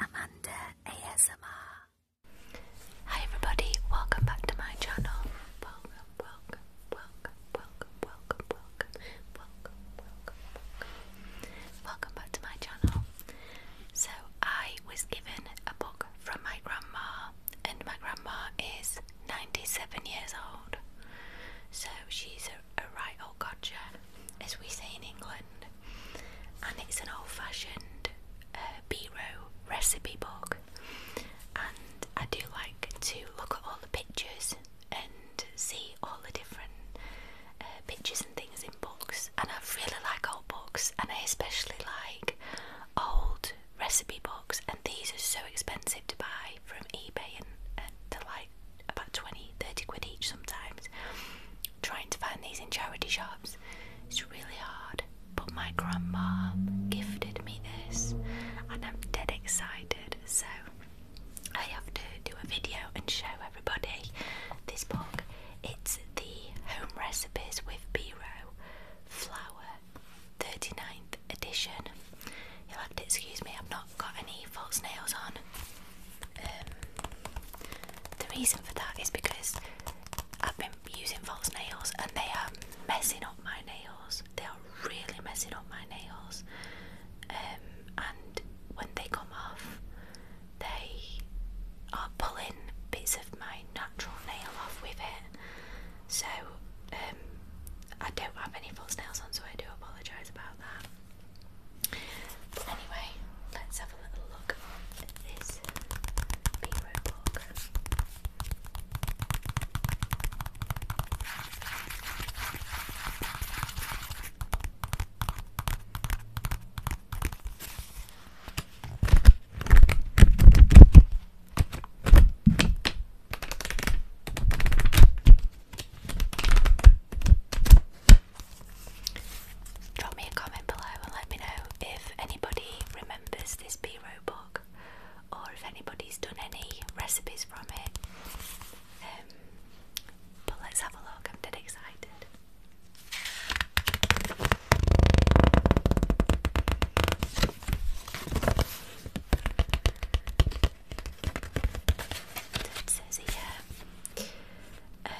Amanda ASMR. Hi everybody, welcome back to my channel. Welcome, welcome, welcome, welcome, welcome, welcome, welcome, welcome, welcome. Welcome back to my channel. So I was given a book from my grandma, and my grandma is 97 years old. So she's a, right old gotcha as we say in England, and it's an old fashioned uh, recipe book. And I do like to look at all the pictures and see all the different uh, pictures and things in books. And I really like old books, and I especially like old recipe books. And these are so expensive to buy from eBay, and, and like about 20, 30 quid each sometimes. Trying to find these in charity shops it's really hard, but my grandma gifted me this, and I'm dead excited. So I have to do a video and show everybody this book. It's the Home Recipes with Biro Flour 39th edition. You'll have to excuse me, I've not got any false nails on. Um, the reason for that is because I've been using false nails and they are messing up my nails. They are really messing up my nails. Um, and when they come off, they are pulling bits of my natural nail off with it. So um, I don't have any false nails on, so I do apologise about that anyway, let's have a little look at this B Roblox. Drop me a comment below and let me know if anybody remembers this B book or if anybody's done any recipes from it. Um, but let's have a look, I'm dead excited. Um,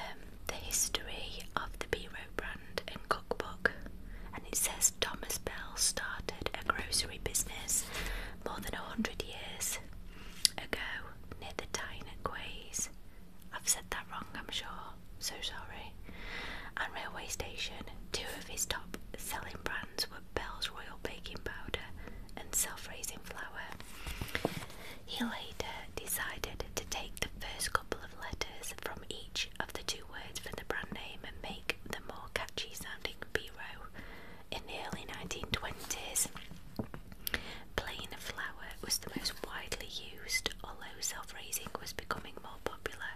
the history of the Biro brand and cookbook, and it says Thomas Bell started a grocery business more than a hundred years ago near the Tyne Quays. I've said that wrong, I'm sure. So sorry. And railway station. Two of his top selling brands were Bell's Royal Baking Powder and self raising flour. He later decided to take the first couple of letters from each of the two words for the brand name and make the more catchy sounding Biro. In the early 1920s, plain flour was the most widely used, although self raising was becoming more popular.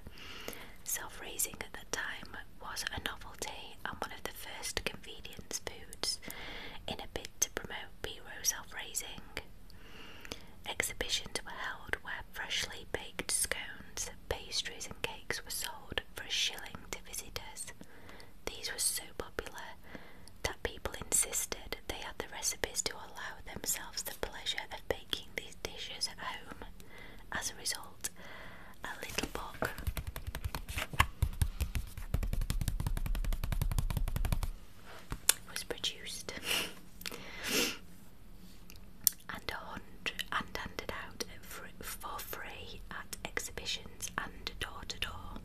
Self raising at that time was a novelty and one of the first convenience foods. In a bid to promote Biro self raising, Exhibitions were held where freshly baked scones, pastries, and cakes were sold for a shilling to visitors. These were so popular that people insisted they had the recipes to allow themselves the pleasure of baking these dishes at home. As a result, a little book was produced and hundred, and handed out for, for free at exhibitions and door to door.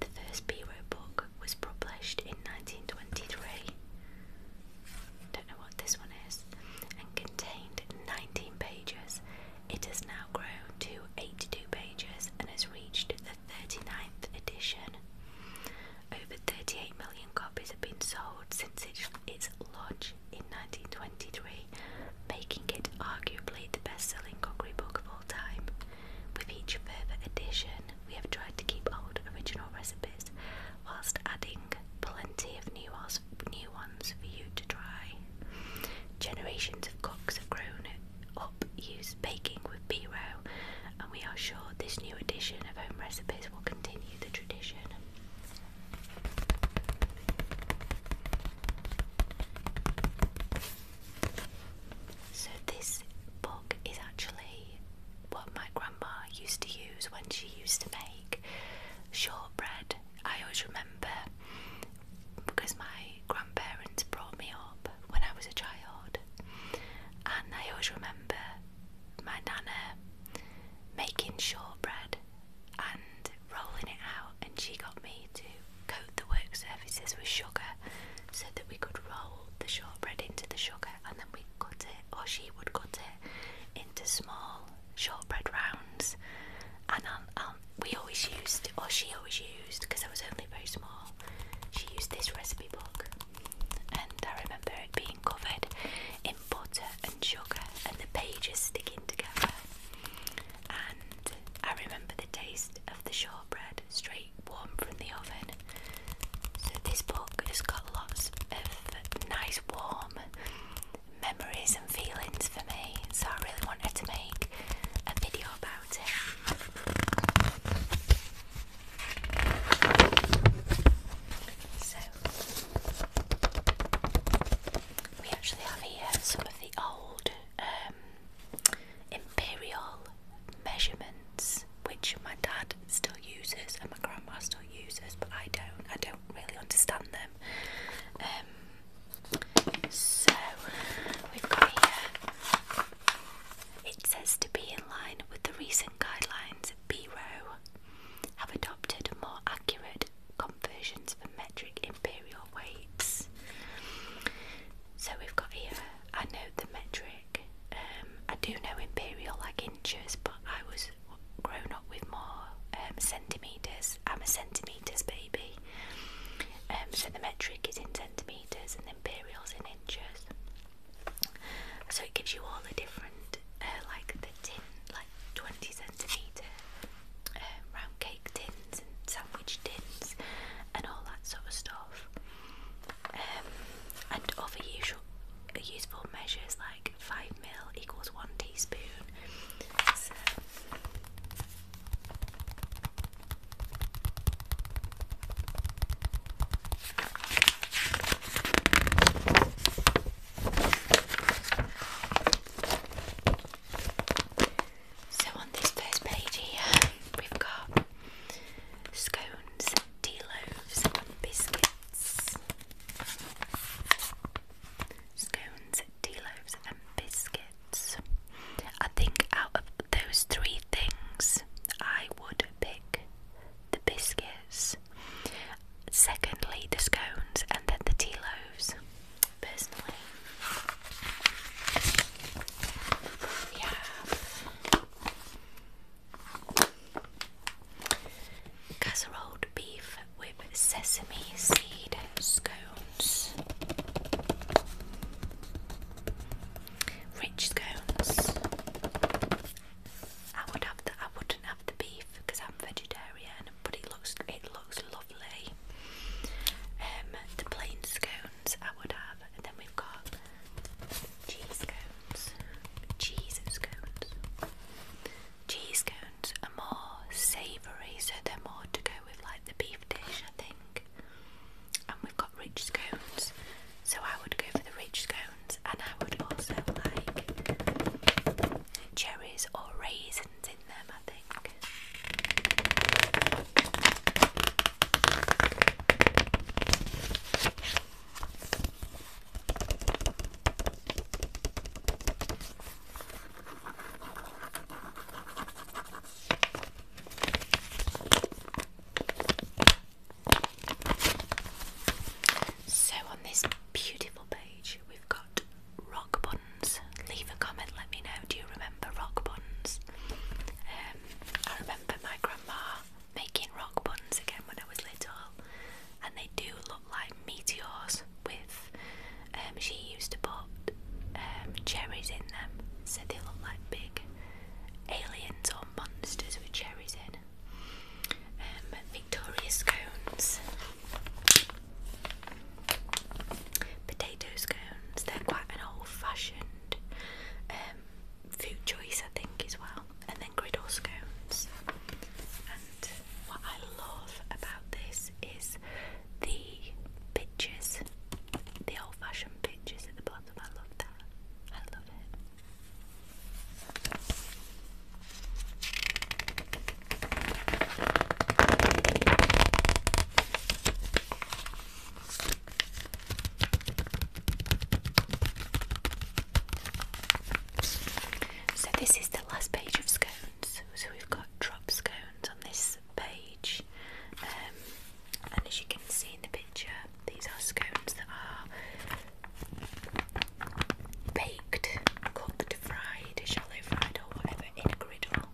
The first Biro book was published in 1923. Don't know what this one is, and contained 19 pages. It has now grown to 82 pages and has reached the 39th edition. Over 38 million copies have been sold since its launch in 1923, making it arguably the best selling cookery book of all time. With each further edition, we have tried to keep old original recipes whilst adding plenty of new ones, new ones for you to try. Generations of cooks have grown up used baking with B-Row and we are sure this new edition of Home Recipes will continue the tradition. So, this book is actually what my grandma used to use when she used to make shortbread. I always remember because my grandparents brought me up when I was a child. And I always remember my nana making shortbread and rolling it out, and she got me to coat the work surfaces with sugar so that we could roll the shortbread into the sugar and then we cut it, or she would cut it into small shortbread rounds. And um, um, we always used, or she always used, because I was only very small, she used this recipe book and I remember it being covered in butter and sugar and the pages sticking together. And I remember the taste of the shortbread straight warm from the oven. So this book has got lots of nice warm memories and feelings for me. So I really wanted to make a video about it. So, we actually have here some of the old um, imperial measurements, which my dad still uses and my grandma still uses, but I don't. I don't really understand them. Um, so, we've got here it says to be in line with the recent guidelines, BRO have adopted more accurate conversions for metric imperial weights. So we've got here, I know the metric, um, I do know imperial like inches, but I was grown up with more um, centimetres. I'm a centimetres baby. Um, so the metric is in centimetres and the imperial's in inches. So it gives you all the different, uh, like the tin, like 20 centimetre uh, round cake tins and sandwich tins and all that sort of stuff. Um, and other usual, useful measures like 5 mil equals 1 teaspoon. So on this first page here, we've got scones, tea loaves, biscuits. Scones, tea loaves, and biscuits. I think out of those three things, I would pick the biscuits, secondly, the scones, and then the tea loaves. Personally, we have casserole beef with sesame seed scones. Rich scones I would have the I wouldn't have the beef because I'm vegetarian, but it looks it looks lovely. Um, the plain scones I would have, and then we've got cheese scones, cheese scones, cheese scones are more savoury, so they're more to go with like the beef dish, I think. And we've got rich scones, so I would go for the rich scones, and I would also like cherries or raisins in them. I think. So on this beautiful page we've got rock buns. Leave a comment, let me know. Do you remember rock buns? Um, I remember my grandma making rock buns again when I was little, and they do look like meteors. With um, she used to put um, cherries in them, so they look like big aliens or monsters with cherries in um, Victoria scones, potato scones. They're quite an old-fashioned um, food choice, I think, as well. And then griddle scones. And what I love about this is the pictures, the old-fashioned pictures at the bottom. I love that. I love it. So, this is the last page of scones. So, we've got drop scones on this page, um, and as you can see in the picture, these are scones that are baked, cooked, fried, shallow fried, or whatever in a griddle.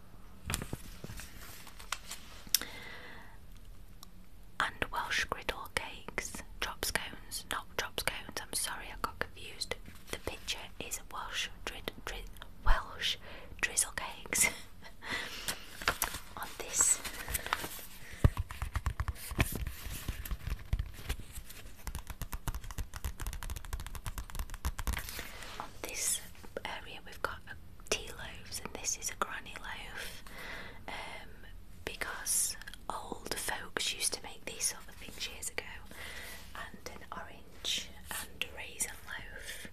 And Welsh griddle cakes, chop scones, not chop scones. I'm sorry, I got confused. The picture is Welsh drizzle cakes. On this this area we've got tea loaves and this is a granny loaf um, because old folks used to make these sort of things years ago and an orange and raisin loaf.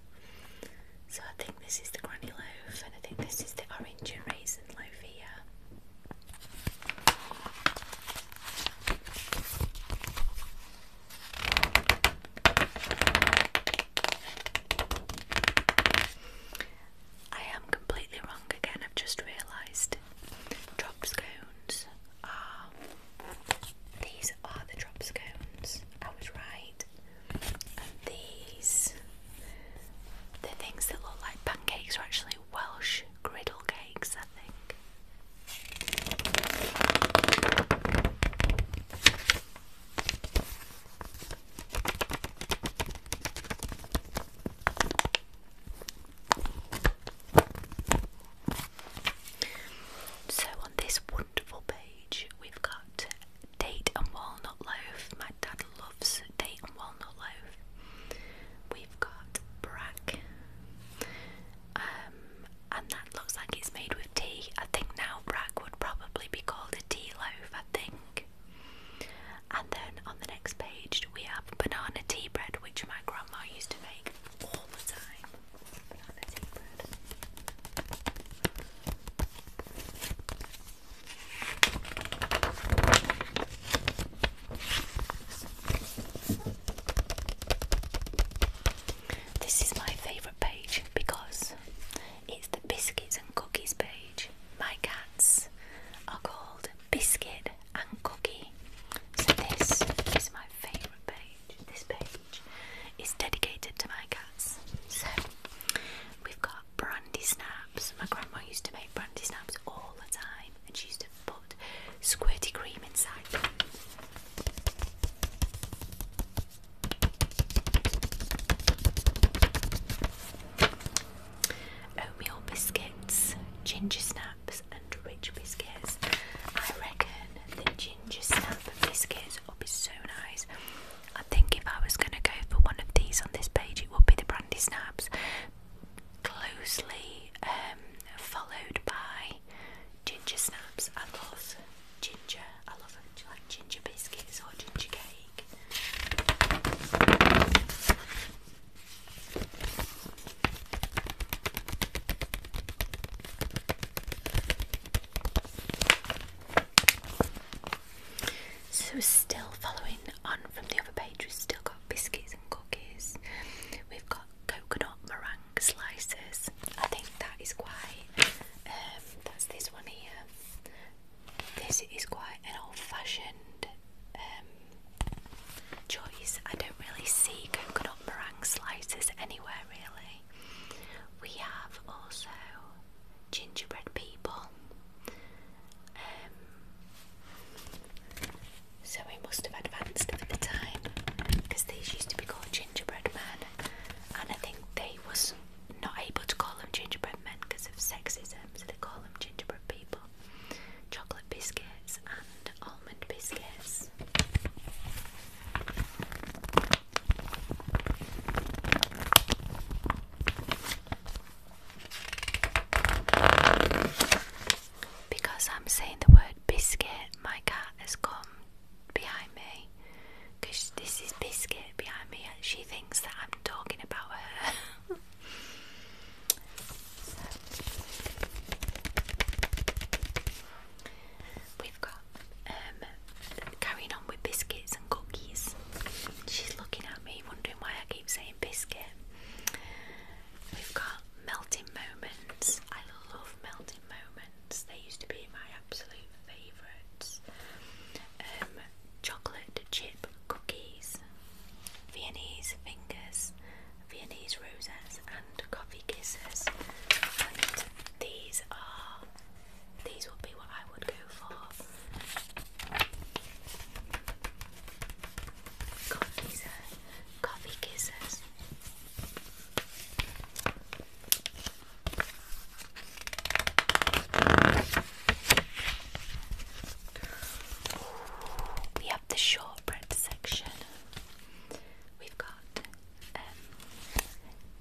So I think this is the granny loaf and I think this is the orange and raisin loaf here. I am completely wrong again, I've just realised. Drop scones are. These are the drop scones. I was right. And these the things that look like pancakes are actually Welsh griddle cakes, I think. So, on this wonderful page, we've got date and walnut loaf. My dad loves date and walnut loaf. We've got brack, um, and that looks like it's made with tea. I think now brack would probably be called a tea loaf, I think. And then on the next page, we have banana tea bread, which my grandma used to make all the time. This is my favourite page because it's the biscuits and cookies page. My cats are called Biscuit and Cookie. So, this is my favourite page. This page is dedicated to my cats. So, we've got brandy snaps. My grandma used to make brandy snaps all the time, and she used to put squirty cream inside them. Oatmeal biscuits, ginger snaps, and rich biscuits. I reckon the ginger snap biscuits will be so nice. I think if I was going to go for one of these on this page, it would be the brandy snaps closely um, followed by ginger snaps. I love ginger. I love ginger biscuits or ginger cake? So, still following on from the other page, we've still got biscuits cookies. We've got coconut meringue slices. I think that is quite. Um, that's this one here. This is quite an old-fashioned um, choice. I don't really see coconut meringue slices anywhere really. We have also gingerbread people. Um, so we must have advanced with the time because these used to be called gingerbread men, and I think they was not able to call them gingerbread men because of sexism, so they call them gingerbread people. Chocolate biscuits and almond biscuits. Because I'm saying the word biscuit, my cat has come behind me. Because this is biscuit behind me, and she thinks that I'm talking about her. We've got um, carrying on with biscuits and cookies. She's looking at me, wondering why I keep saying biscuit. We've got melting moments. I love melting moments. They used to be my absolute favourites. Um, chocolate chip cookies, Viennese fingers, Viennese roses, and coffee kisses. these are these would be what I would go for. Coffee's coffee kisses. We have the shortbread section. We've got um,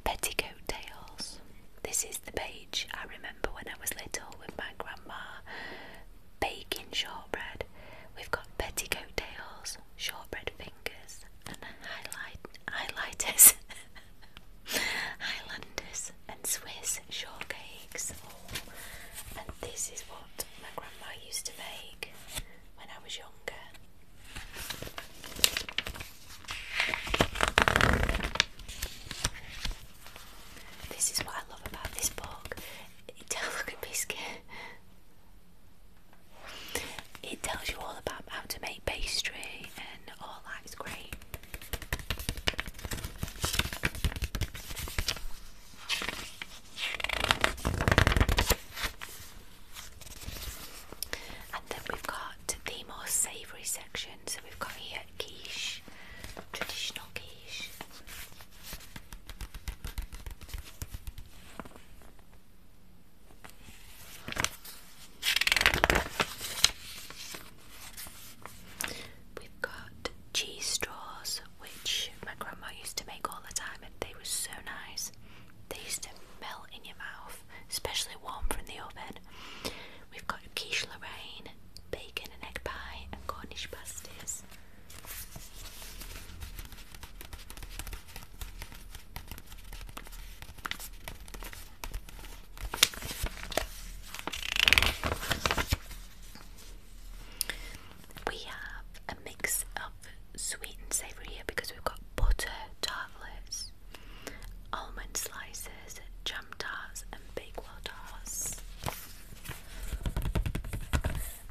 petticoat tails. This is the page I remember when I was little with my grandma baking shortbread. We've got petticoat tails, shortbread fingers, and highlight highlighters, Highlanders, and Swiss shortcakes. and this is what my grandma used to make when I was younger. This is what I love about this book it tells you all about how to make pastry and all that is great. And then we've got the more savoury section. So we've got here quiche, traditional quiche, We've got cheese straws, which my grandma used to make all the time, and they were so nice. They used to melt in your mouth, especially warm from the oven. We've got quiche Lorraine, bacon and egg pie, and Cornish pasties. We have a mix of sweet and savoury here because we've got butter tartlets, almond slices, jam tarts, and bakewell tarts.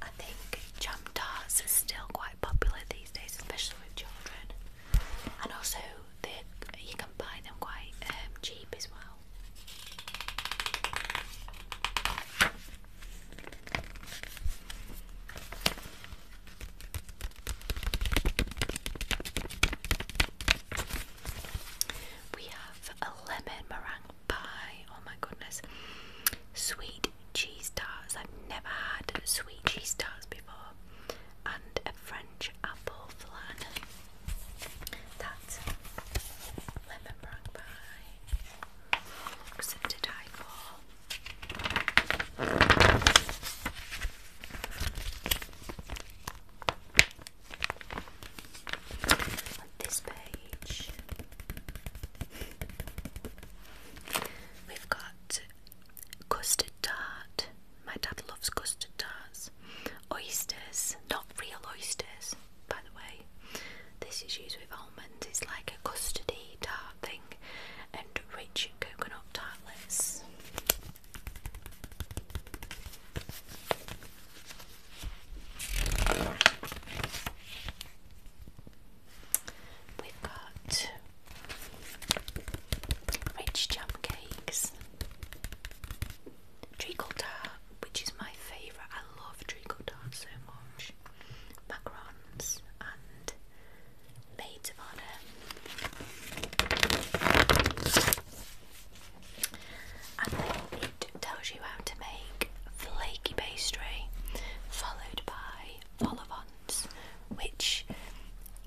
I think jam tarts is still quite popular these days, especially with children. And also, they, you can buy them quite um, cheap as well. We have a lemon meringue pie. Oh my goodness. Sweet cheese tarts. I've never had sweet cheese tarts before. And a French apple flan. That's lemon meringue pie. Something this page, we've got custard tart. My dad loves custard tarts. Oysters, not real oysters, by the way. This is used with almonds. It's like a custardy tart thing, and rich coconut tartlets. We've got rich jam cakes, treacle which is my favourite. I love treacle so much. Macarons and maids of honour tells you how to make flaky pastry, followed by vol which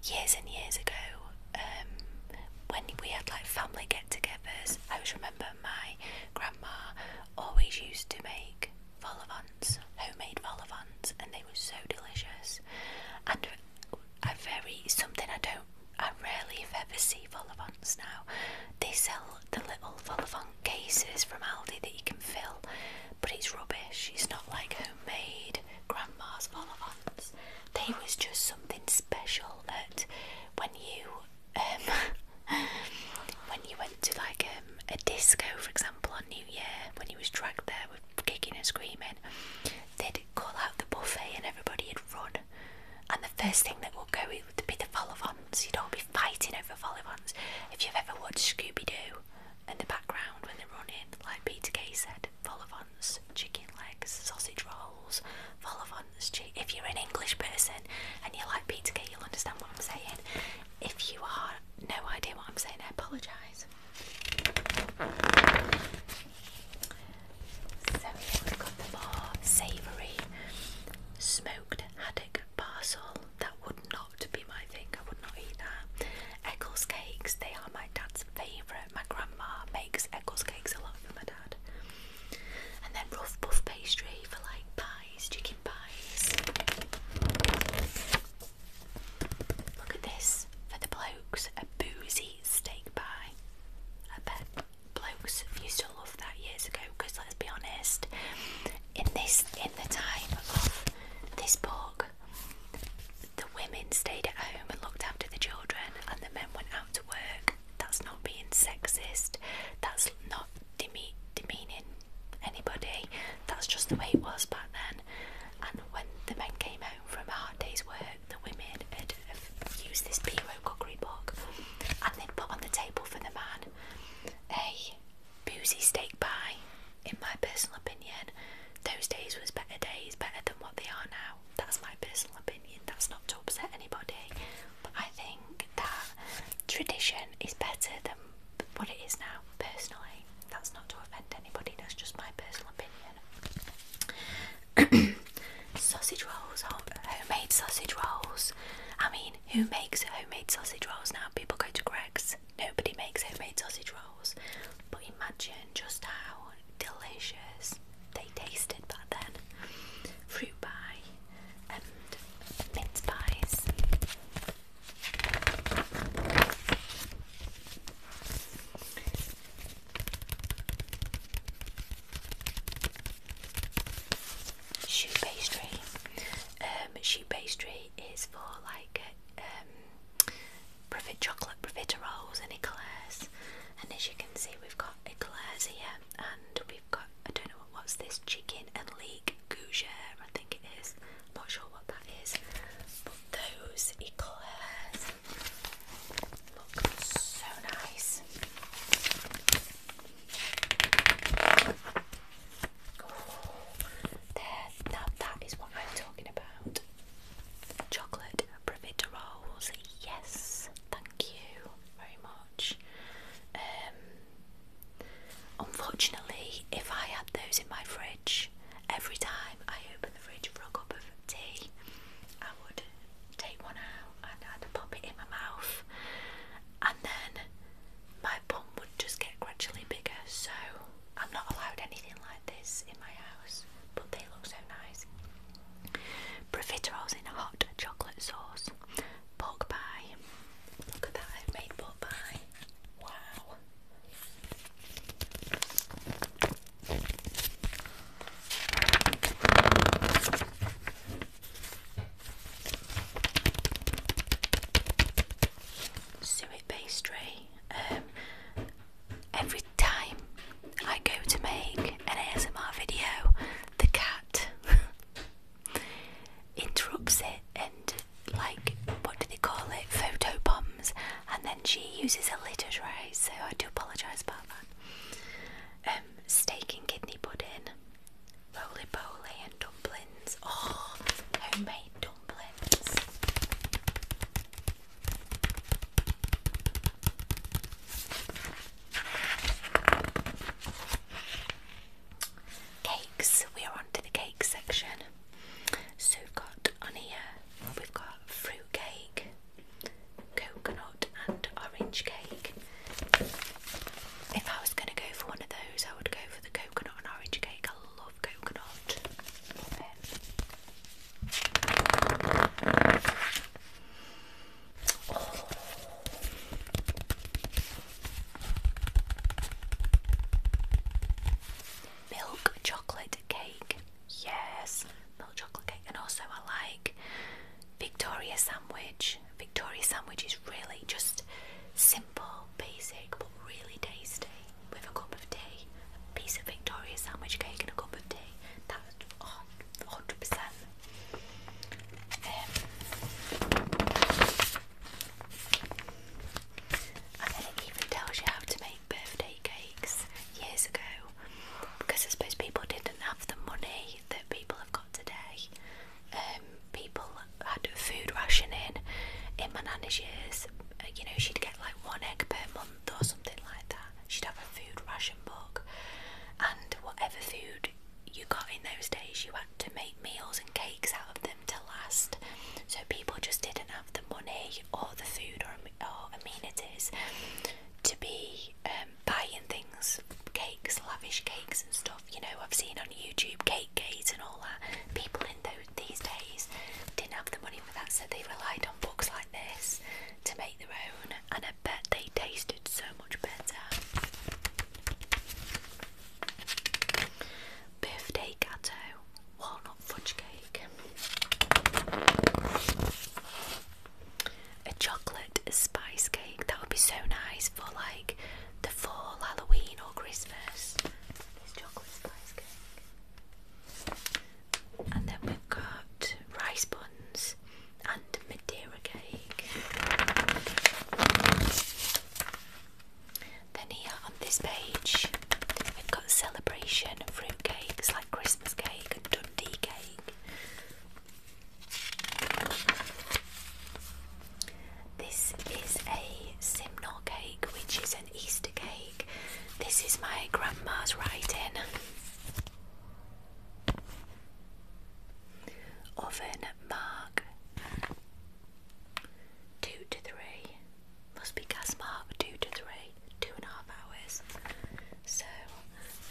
years and years ago, um, when we had like family get togethers, I always remember my grandma always used to make vol homemade vol and they were so delicious. And a very something I don't, I rarely, ever, see vol now. They sell the little Volvant cases from Aldi that you can fill, but it's rubbish. It's not like homemade grandma's Volvants. They was just something special that when you um, when you went to like um, a disco, for example, on New Year, when you was dragged there with kicking and screaming, they'd call out the buffet and everybody had run, first thing that will go would be the Folivants. You'd all be fighting over Folivants. If you've ever watched Scooby Doo in the background when they're running, like Peter Kay said, Folivants, chicken legs, sausage rolls, Folivants. If you're an English person and you like Peter Kay, you'll understand what I'm saying. If you are no idea what I'm saying, I apologise. So we've got the more savoury smoked haddock parcel. That would not be my thing. I would not eat that. Eccles cakes. They are my dad's favourite. My grandma makes Eccles cakes a lot for my dad. And then rough puff pastry for like pies, chicken pies. Look at this for the blokes. A boozy steak pie. I bet blokes used to of that years ago because let's be honest, in this in the time of this book, the women stayed at home and looked after the children, and the men went out to work. That's not being sexist. That's not demeaning anybody. That's just the way it was back then. And when the men came home from a hard day's work, the women had, had used this P.O. cookery book and then put on the table for the man a boozy steak pie. In my personal opinion, those days was better days, better than what they are now. That's my personal opinion. That's not to upset anybody, but I think that tradition is better than what it is now. Personally, that's not to offend anybody. That's just my personal opinion. sausage rolls, homemade sausage rolls. I mean, who makes homemade sausage rolls now? People go to Greg's. Nobody makes homemade sausage rolls. But imagine just how delicious they tasted back then. Fruit pie and mince pies shoe pastry. Um, shoe pastry is for like um, profit chocolate profiteroles and eclairs. And as you can see, we've got eclairs here, and we've got I don't know what's this chicken and leek gougere, I think it not sure what that is, but those eclairs look so nice. There, now that is what I'm talking about. Chocolate profiteroles, yes, thank you very much. Um, unfortunately, if I had those in my fridge, every time I open the fridge for a cup of tea, I would take one out and I'd pop it in my mouth, and then my would just get gradually bigger, so I'm not allowed anything like this in my house, but they look so nice. Profiteroles in hot chocolate sauce, pork pie. Look at that, I've made pork pie. Wow. Suet pastry. Um, every time I go to make an ASMR video, the cat interrupts it and, like, what do they call it? Photo bombs, and then she uses a litter tray. So I do apologise about that. Um, steak and kidney pudding roly poly and dumplings. Oh, homemade dumplings. Cakes. We are on to the cake section. So we've got on here, we've got fruit cake, coconut and orange cake. If I was going to go for one of those, I would go for the coconut and orange cake. I love coconut. Oh. Milk chocolate cake. Yes, milk chocolate cake. And also, I like Victoria sandwich. Victoria sandwich is really just simple, basic, but really tasty with a cup of tea. A piece of Victoria sandwich cake and a cup of tea. That's 100%. Um, and then it even tells you how to make birthday cakes years ago because I suppose people didn't have the money that people have got today. Um, people had food rationing in my nanny's years. Uh, you know, she'd get like one egg per month or something like that. She'd have a food ration book, and whatever food you got in those days, you had to make meals and cakes out of them to last. So people just didn't have the money or the food or, amenities to be um, buying things, cakes, lavish cakes and stuff. You know, I've seen on YouTube cake cakes and all that. People in those these days didn't have the money for that, so they relied on books like this to make their own. And I bet they tasted so much better. Birthday gatto, walnut fudge cake. A chocolate spice cake that would be so nice for like the fall, Halloween, or Christmas. This chocolate spice cake. And then we've got rice buns and Madeira cake. Then here on this page, we've got celebration fruit cakes like Christmas cake and Dundee cake. This is a simnel cake, which is an Easter cake. This is my grandma's writing. Oven mark two to three. Must be gas mark two to three, two and a half hours. So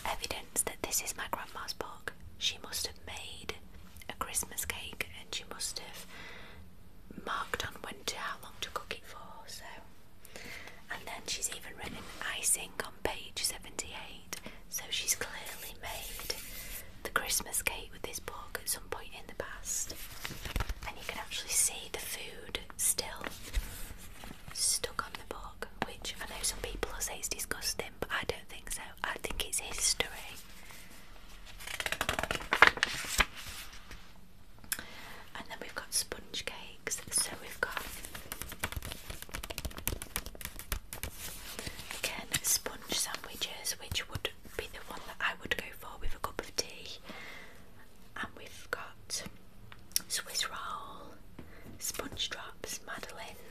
evidence that this is my grandma's book. She must have made a Christmas cake and she must have marked on winter how long to cook it for, so and then she's even written icing on page 78. So she's clearly made the Christmas cake with this book at some point in the past. And you can actually see the food still stuck on the book, which I know some people will say it's disgusting, but I don't think so. I think it's history and then we've got sponge cakes. So we've got again sponge sandwiches, which would be the one that I would go for with a cup of tea. And we've got Swiss roll, sponge drops, madeleines.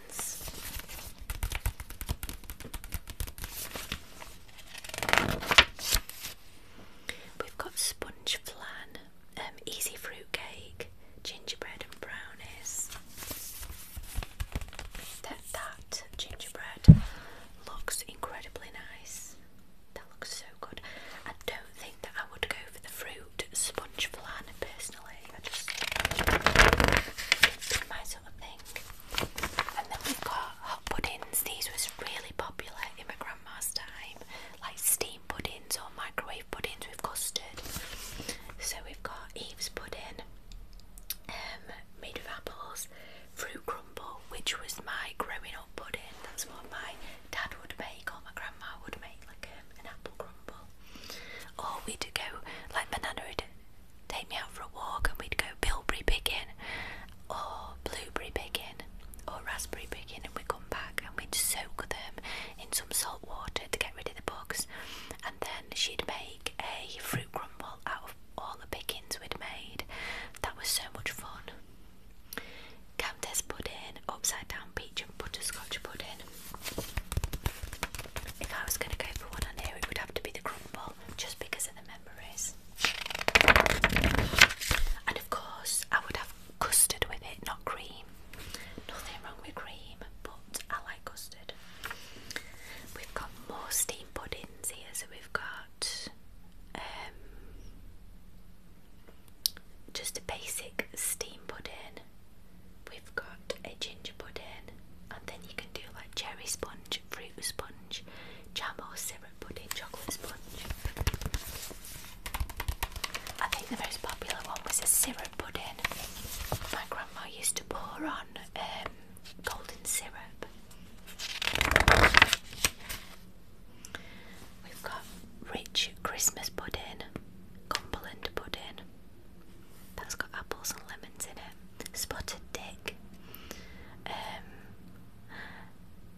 We've got sponge flan, um, easy fruit cake, gingerbread and brownies. That gingerbread looks incredibly nice. That looks so good. I don't think that I would go for the fruit sponge flan personally. And then we've got hot puddings. These was really popular in my grandma's time, like steam puddings or microwave puddings with custard. So we've got Eve's pudding, um, made with apples, fruit crumble, which was my growing up pudding. That's what my dad would make or my grandma would make, like um, an apple crumble. Or we'd go like my nana take me out for a walk and we'd go bilberry picking or blueberry picking or raspberry picking and we'd come back and we'd soak them in some salt water to get rid of the bugs and then she'd make a fruit crumble out of all the pickings we'd made. That was so much fun. Countess pudding, upside down peach and butterscotch pudding. If I was going to go for one here, it would have to be the crumble, just because the memories. And of course, I would have custard with it, not cream. Nothing wrong with cream, but I like custard. We've got more steam puddings here, so we've got um, just a basic steam pudding. We've got a ginger pudding, and then you can do like cherry sponge, fruit sponge, jam or syrup pudding, chocolate sponge. I think the most popular one was a syrup pudding. My grandma used to pour on um, golden syrup. We've got rich Christmas pudding, Cumberland pudding. That's got apples and lemons in it. Spotted Dick. Um,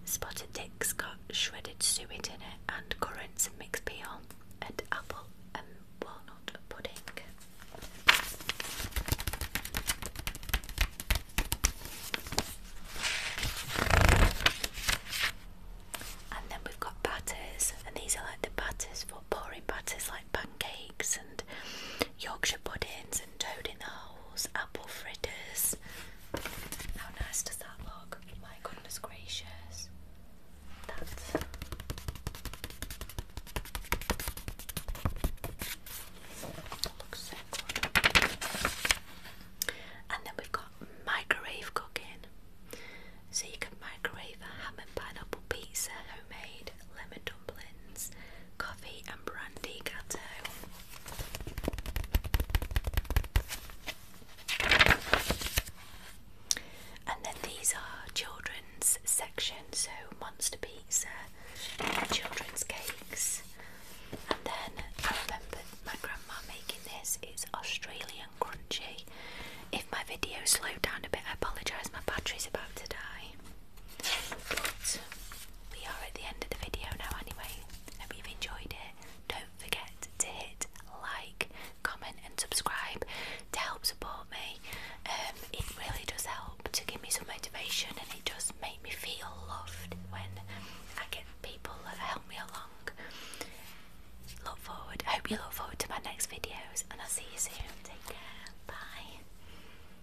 Spotted Dick's got shredded suet in it and currants and mixed peel and apple and walnut pudding. And then we've got batters, and these are like the batters for pouring batters like pancakes and Yorkshire puddings toad in the holes, apple fritters. How nice does that look? My goodness gracious. that looks And then we've got microwave cooking. So you can microwave a ham and pineapple pizza, homemade, lemon dumplings, coffee and brandy gatto. And then these are children's sections. so monster pizza, children's cakes. And then I remember my grandma making this, it's Australian crunchy. If my video slowed down a bit, I apologise, my battery's about to die we are at the end of the video now, anyway. Hope you've enjoyed it. Don't forget to hit like, comment, and subscribe to help support me. Um, it really does help to give me some motivation, and it does make me feel loved when I get people that help me along. Look forward. hope you look forward to my next videos, and I'll see you soon. Take care. Bye.